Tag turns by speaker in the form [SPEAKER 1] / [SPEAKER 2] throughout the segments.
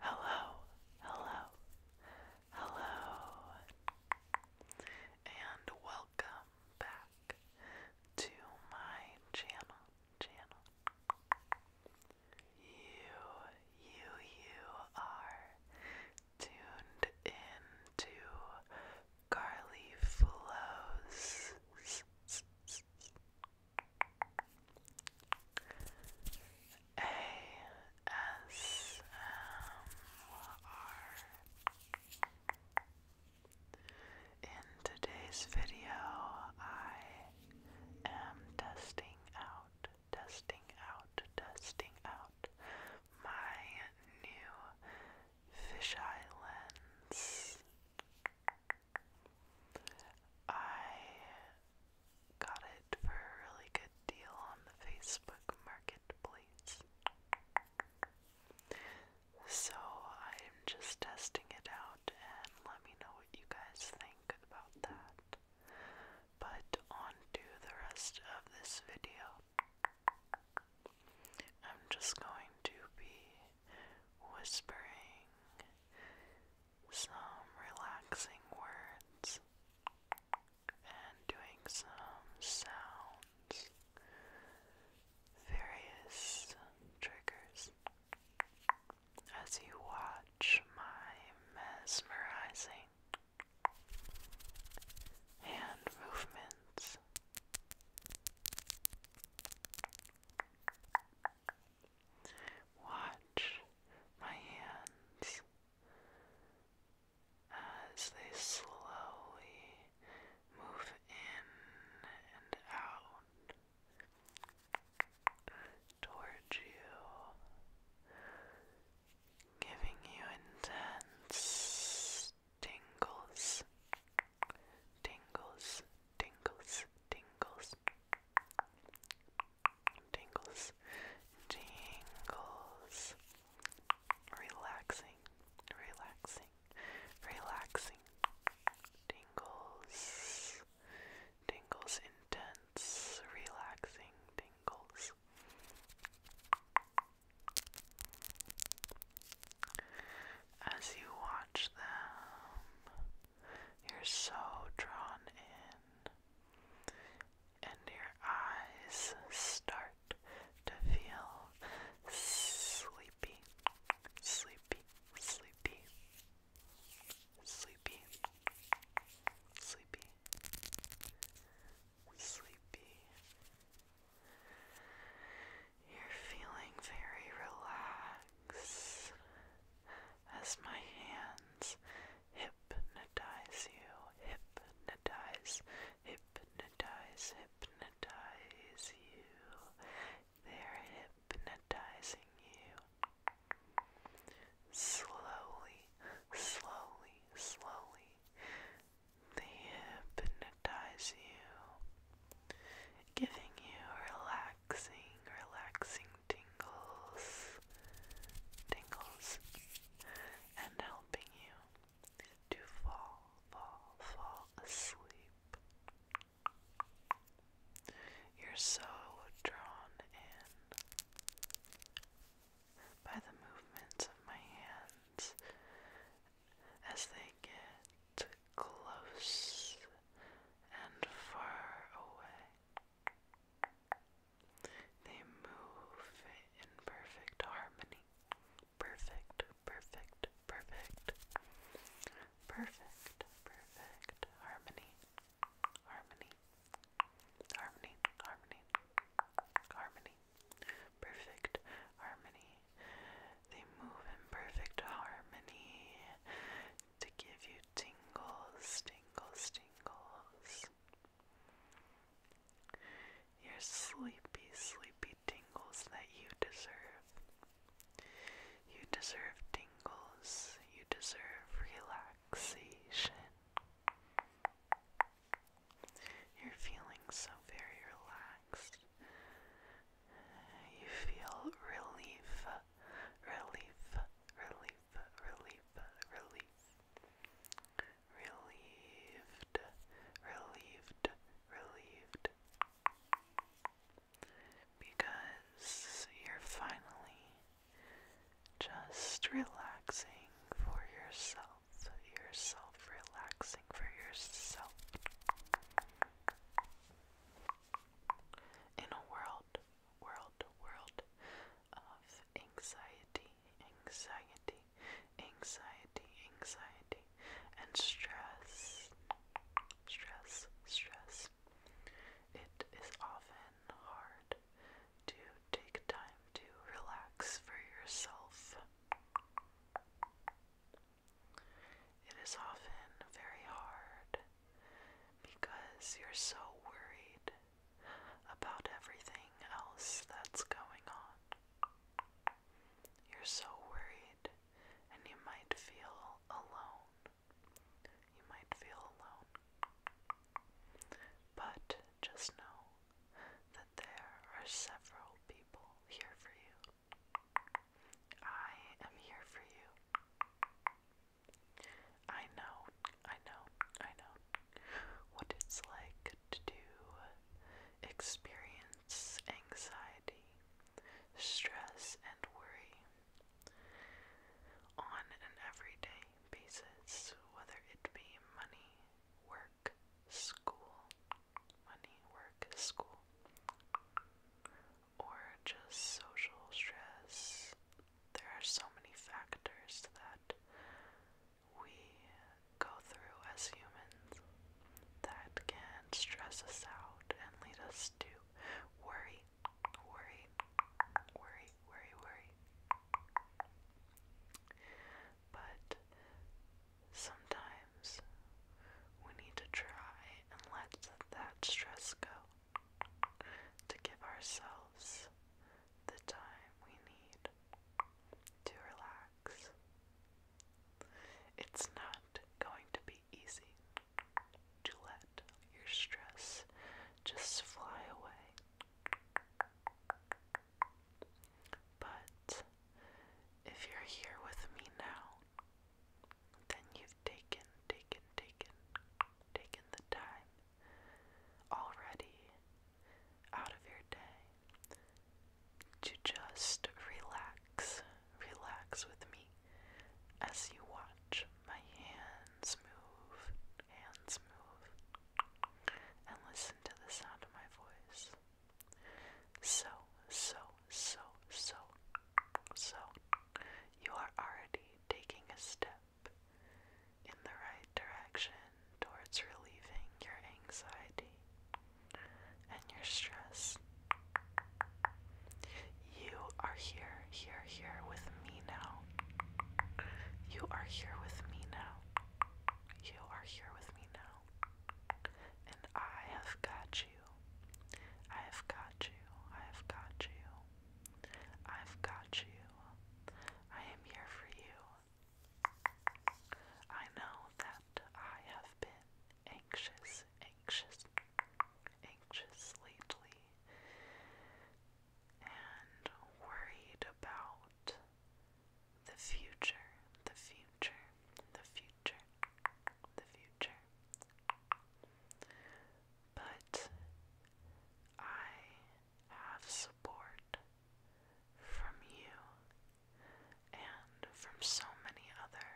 [SPEAKER 1] Hello, hello, hello, and welcome back to my channel, channel. You, you, you are tuned into Carly Flows. In today's video, I am testing out, testing out, testing out my new fisheye lens. I got it for a really good deal on the Facebook Marketplace. So I'm just testing it out and let me know what you guys think about that. But on the rest of this video. I'm just going to be whispering some relaxing words and doing some sounds, various triggers. As you watch my mesmerizing hand movements, Watch my hands as they slowly move in and out towards you, giving you intense tingles tingles, tingles, tingles, tingles, tingles, relaxing, relaxing, relaxing, tingles, tingles, intense, relaxing, tingles as you watch them. You're so drawn in, and your eyes start to feel sleepy, sleepy, sleepy, sleepy, sleepy, sleepy. You're feeling very relaxed as my hands hypnotize you, hypnotize, hypnotize, hypnotize you. They're hypnotizing you. Slowly, slowly, slowly. They hypnotize you giving you relaxing, relaxing tingles, tingles, and helping you to fall, fall, fall asleep. You're so drawn in by the movements of my hands as they get close and far away. They move in perfect harmony. Perfect, perfect, perfect. Perfect, perfect harmony. Harmony. Harmony, harmony, harmony. Perfect harmony they move in perfect harmony to give you tingles, tingles, tingles. Your sleepy, sleepy tingles that you deserve. You deserve tingles. You deserve relaxation. You're feeling so very relaxed. You feel relief, relief, relief, relief, relief. Relieved, relieved, relieved. Because you're finally just relaxing for yourself, yourself relaxing for yourself. In a world, world, world of anxiety, anxiety, anxiety, anxiety, and stress, stress, stress, it is often hard to take time to relax for yourself. It is often very hard because you're so worried about everything else that's going on. You're so worried, and you might feel alone. You might feel alone. But just know that there are several people here for you. I am here for you. I know, I know, I know what it's like to experience anxiety, stress, and worry on an everyday basis, whether it be money, work, school, money, work, school, or just social stress. There are so many factors that we go through as humans that can stress us out and lead us to worry, worry, worry, worry, worry but sometimes we need to try and let that stress go to give ourselves the time we need to relax. It's not going to be easy to let your stress just fly away. But if you're here with me now, then you've taken, taken, taken, taken the time already out of your day to just relax, relax with me as you watch my hands move, hands move, and listen to the sound of my voice. So, so, so, so, so, you are already taking a step in the right direction towards relieving your anxiety and your stress. You are here, here, here with me now. You are here with me now. You are here with me now. And I have got you. I have got you. I have got you. I've got you. I am here for you. I know that I have been anxious, anxious, anxious lately and worried about the future, the future, the future, the future. But I have support from you and from so many other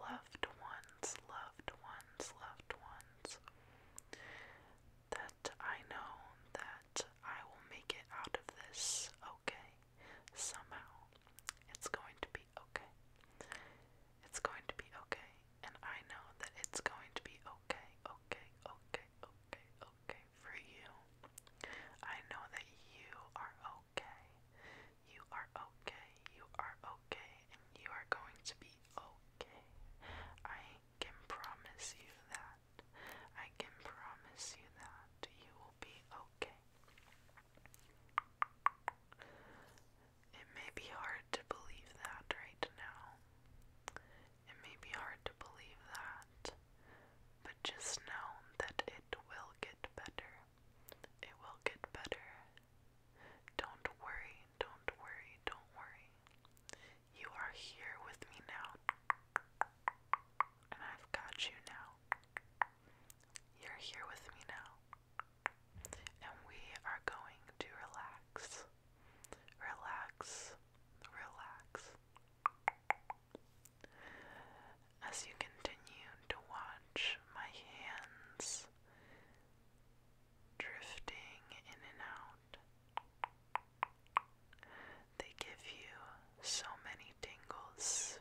[SPEAKER 1] loved ones, loved ones, loved ones that I know that I will make it out of this okay. Somehow. It's going to be okay. It's going to be okay. And I know that it's going to be okay, okay, okay, okay, okay for you. I know that you are okay. You are okay. You are okay. And you are going to be okay. I can promise you that. I can promise you that you will be okay. It may be hard to believe that right now. It may be hard to believe that, but just know that it will get better. It will get better. Don't worry, don't worry, don't worry. You are here with me now. And I've got you now. You're here with me now. And we are going to relax. Relax. Relax. As you continue to watch my hands drifting in and out they give you so many tingles,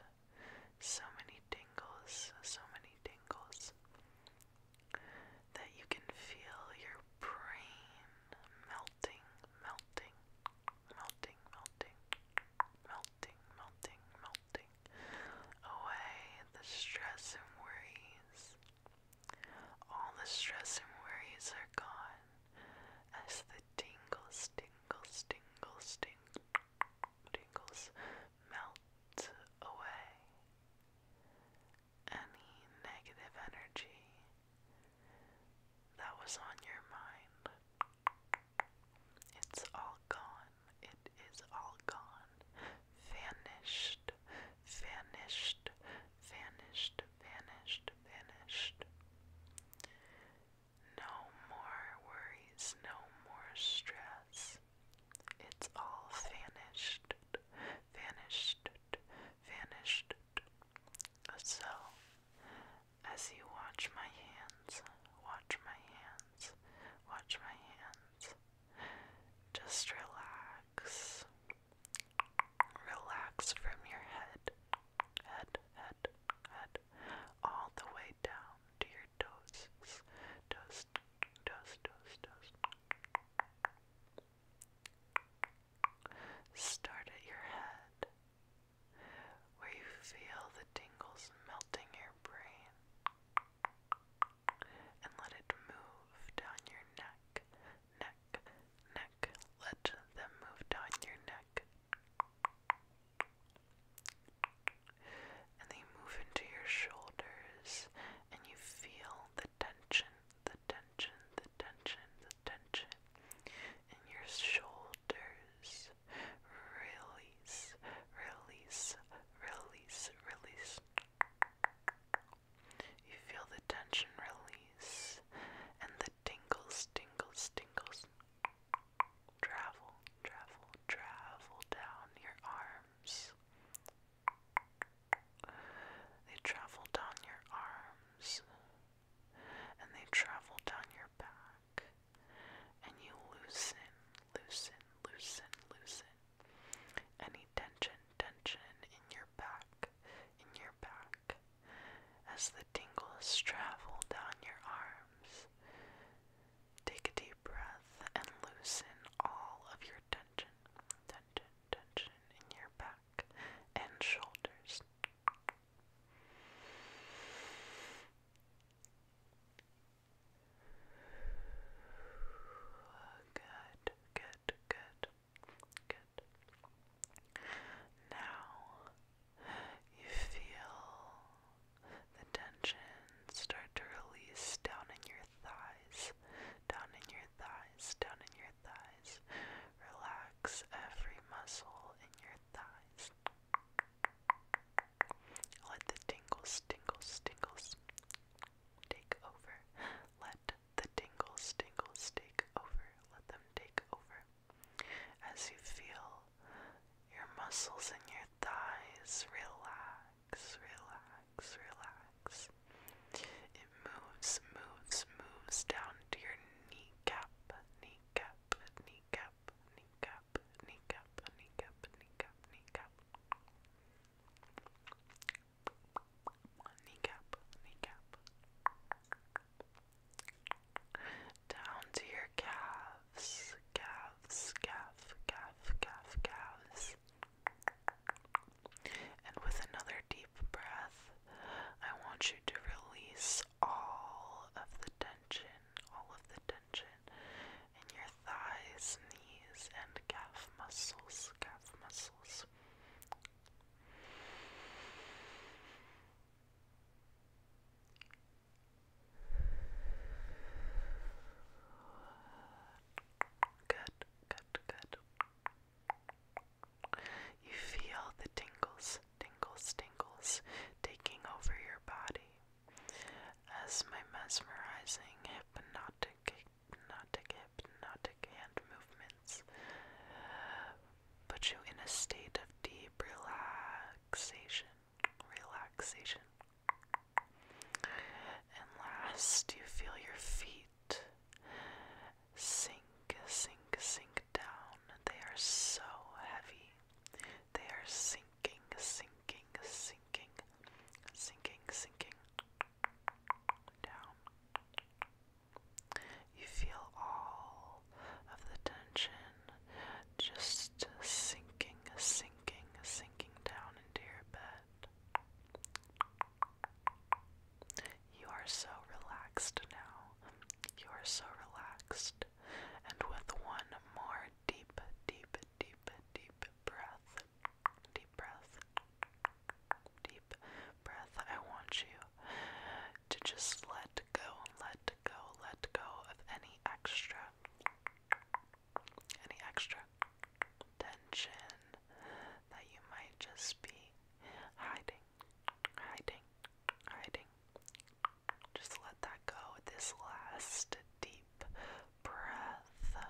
[SPEAKER 1] so many tingles, so many tingles that you can feel your brain melting, melting, melting, melting, melting, melting, melting away the stress and worries. All the stress and worries are gone as the tingles, tingles, tingles, ting tingles melt away. Any negative energy that was on your mind. It's all gone. It is all gone. Vanished, vanished, vanished, vanished, vanished. No more worries, no more stress. It's all vanished, vanished, vanished. So, as you watch my hands, watch my hands, watch my hands, just relax, Relax from your head, head, head, head, all the way down to your toes, toes, toes, toes, toes. Start at your head, where you feel the tingles melting your brain, and let it move down your neck, neck, neck. Let them move down your neck. And they move into your shoulders, and you feel the tension, the tension, the tension, the tension in your shoulders. Release, release, release, release. You feel the tension release and the tingles, tingles, tingles travel, travel, travel down your arms. They travel down your arms and they travel down your back and you loosen, loosen, loosen, loosen any tension, tension in your back, in your back, as the tingles travel down your arms. Take a deep breath and loosen all of your tension, tension, tension in your back and shoulders. Good, good, good, good, Now you feel the tension start to release down in your thighs, down in your thighs, down in your thighs. Relax every muscle in your thighs. Let the tingles, tingles, tingles take over. Let let the tingles, tingles take over. Let them take over. As you feel your muscles in your thighs relax, relax, relax. It moves, moves, moves down to your kneecap, kneecap, kneecap, kneecap, kneecap, kneecap, kneecap, kneecap kneecap, kneecap, down to your calves, calves, calf, calf, calf, calves. And with another deep breath, I want you to release all of the tension, all of the tension in your thighs, knees, and calf muscles, calf muscles. Good, good, good. You feel the tingles, tingles, tingles taking over your body as my mesmerizing hypnotic hypnotic, hypnotic hand movements put you in a state of deep relaxation. Relaxation. And last, you feel your feet sink, sink, sink down. They are so heavy. They are sinking, sinking, sinking, sinking, sinking down. You feel all of the tension just sinking, sinking, sinking down into your bed. You are so relaxed now. You are so relaxed. And with one more deep, deep, deep, deep breath, Deep breath. Deep breath. I want you to just let go, let go, let go of any extra, any extra tension that you might just be hiding, hiding, hiding. Just let that go. This last deep breath.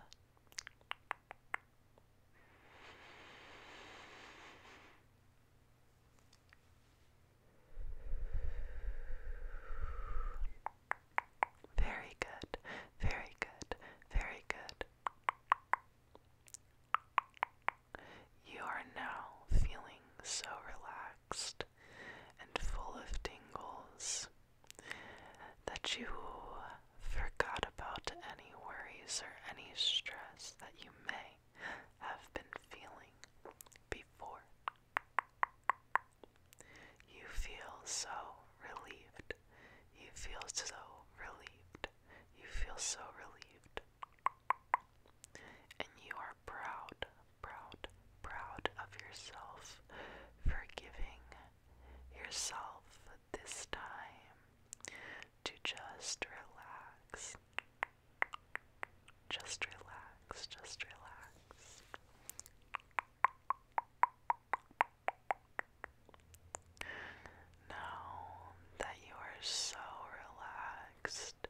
[SPEAKER 1] Very good, very good, very good. You are now feeling so relaxed and full of tingles that you forgot about any worries or any stress that you may have been feeling before. You feel so relieved. You feel so relieved. You feel so relieved. And you are proud, proud, proud of yourself for giving yourself this time to just relax. Just relax, just relax. Now that you are so relaxed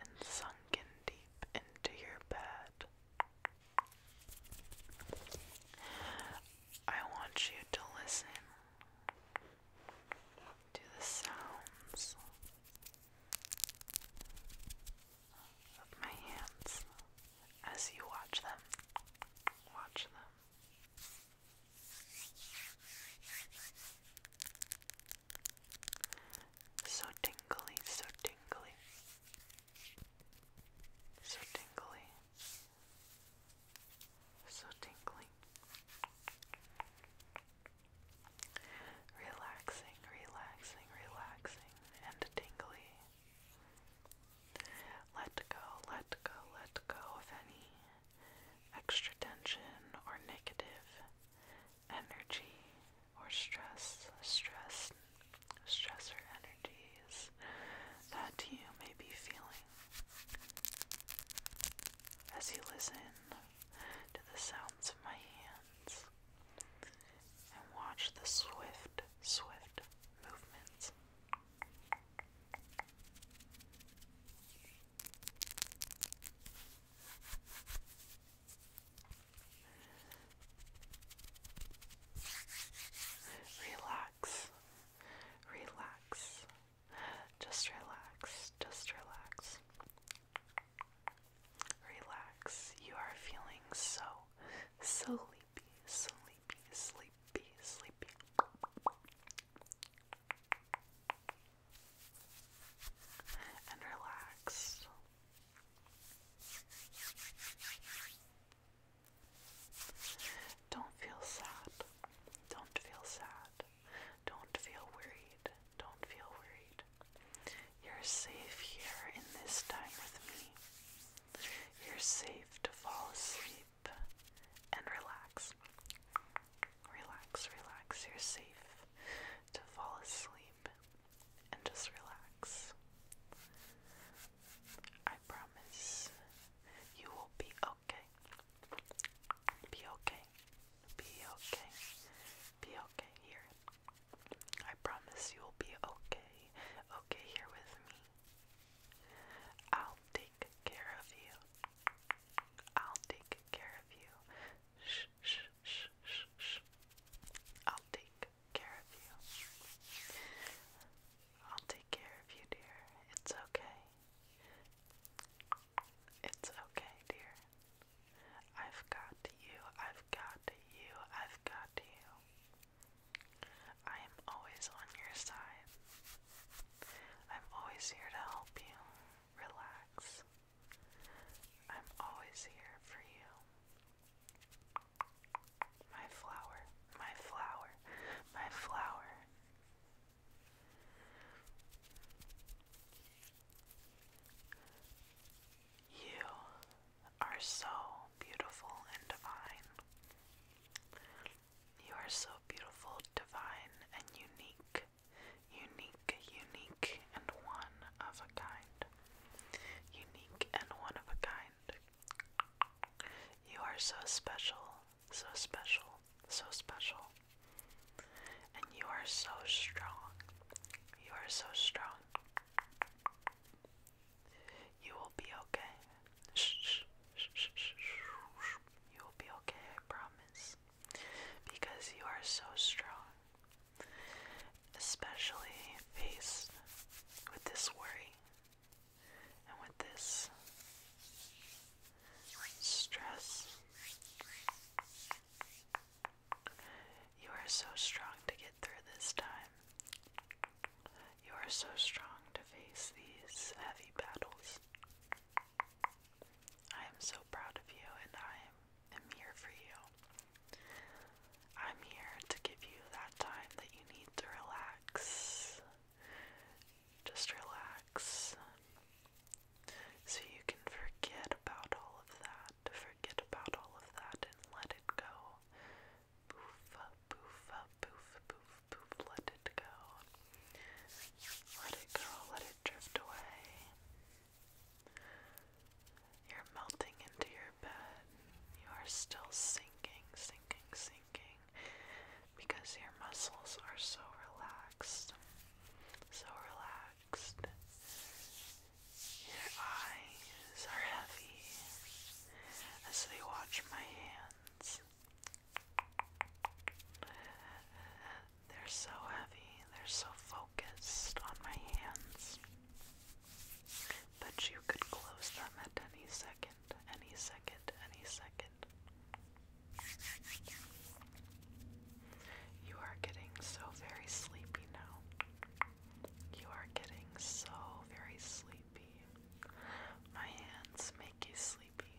[SPEAKER 1] and sunken deep into your bed, I want you to listen to the sounds of my hands as you watch them. Watch them. So tingly, so tingly, so tingly. So tingling. Relaxing, relaxing, relaxing, and tingly. Let go, let go, let go of any extra tension or negative energy or stress, stress, stressor energy energies that you may be feeling as you listen to the sounds of my hands and watch the swift, swift movements relax, just relax, just relax, relax. You are feeling so so sleepy, sleepy, sleepy, sleepy. And relaxed. Don't feel sad. Don't feel sad. Don't feel worried. Don't feel worried. You're safe here in this time with me. You're safe to fall asleep and relax. Relax, relax. You're safe to fall asleep and just relax. I promise you will be okay. Be okay. Be okay. Be okay here. I promise you'll be okay. Okay here with me. I'll take care of you. I'll take care of you. Shh, shh, shh, shh, I'll take care of you. I'll take care of you, dear. It's okay. It's okay, dear. I've got you. I've got you. I've got you. I am always on your side. I'm always here to help you. Relax. I'm always here for you. My flower, my flower, my flower. You are so beautiful and divine. You are so beautiful, divine, and unique. Unique, unique, and one of a kind. Unique and one of a kind. You are so special, so special, so special. And you are so strong. You are so strong. You will be okay. You will be okay, I promise. Because you are so strong. Especially faced with this worry and with this stress, you are so strong to get through this time. You are so strong to face these heavy battles. I am so proud of you, and I am, am here for you. I'm here to give you that time that you need to relax. Just relax. So you can forget about all of that. Forget about all of that and let it go. Poof, poof, poof, poof, poof, let it go. Let it go, let it drift away. You're melting into your bed. You are still sinking, sinking, sinking because your muscles are so relaxed. So relaxed. Your eyes are heavy as they watch my hands. They're so heavy, they're so focused on my hands. But you could close them at any second, any second, any second. You are getting so very sleepy now. You are getting so very sleepy. My hands make you sleepy.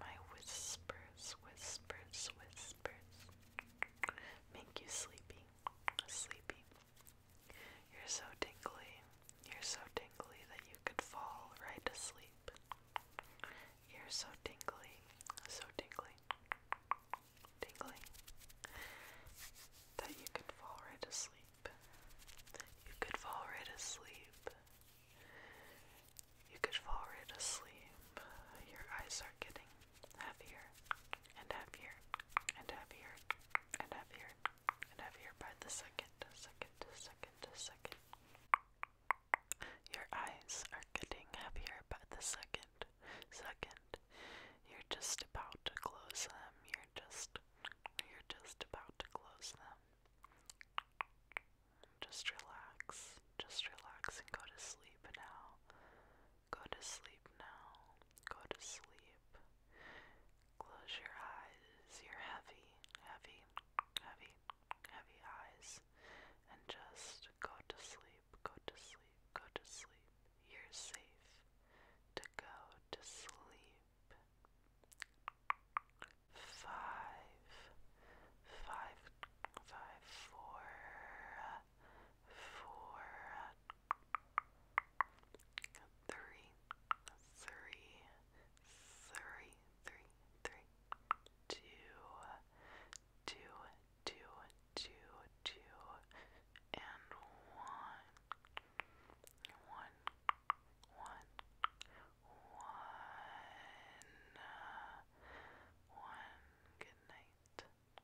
[SPEAKER 1] My whispers, whispers, whispers make you sleepy. Sleepy, you're so tingly. You're so tingly that you could fall right to sleep. You're so tingly. So tingly. Tingly. That you could fall right asleep. You could fall right asleep. You could fall right asleep. Your eyes are getting heavier, and heavier, and heavier, and heavier, and heavier by the second, second, second, second. Your eyes are getting heavier by the second, second. You're just about to close them. You're just, you're just about to close them. Just relax. Just relax and go to sleep now. Go to sleep now. Go to sleep. Close your eyes, your heavy, heavy, heavy, heavy eyes, and just go to sleep, go to sleep, go to sleep. You're safe to go to sleep. Five, five, five, four, four, three, three, three, three, three, two, two, two, two, two, and one, one, one, one, one. Good night.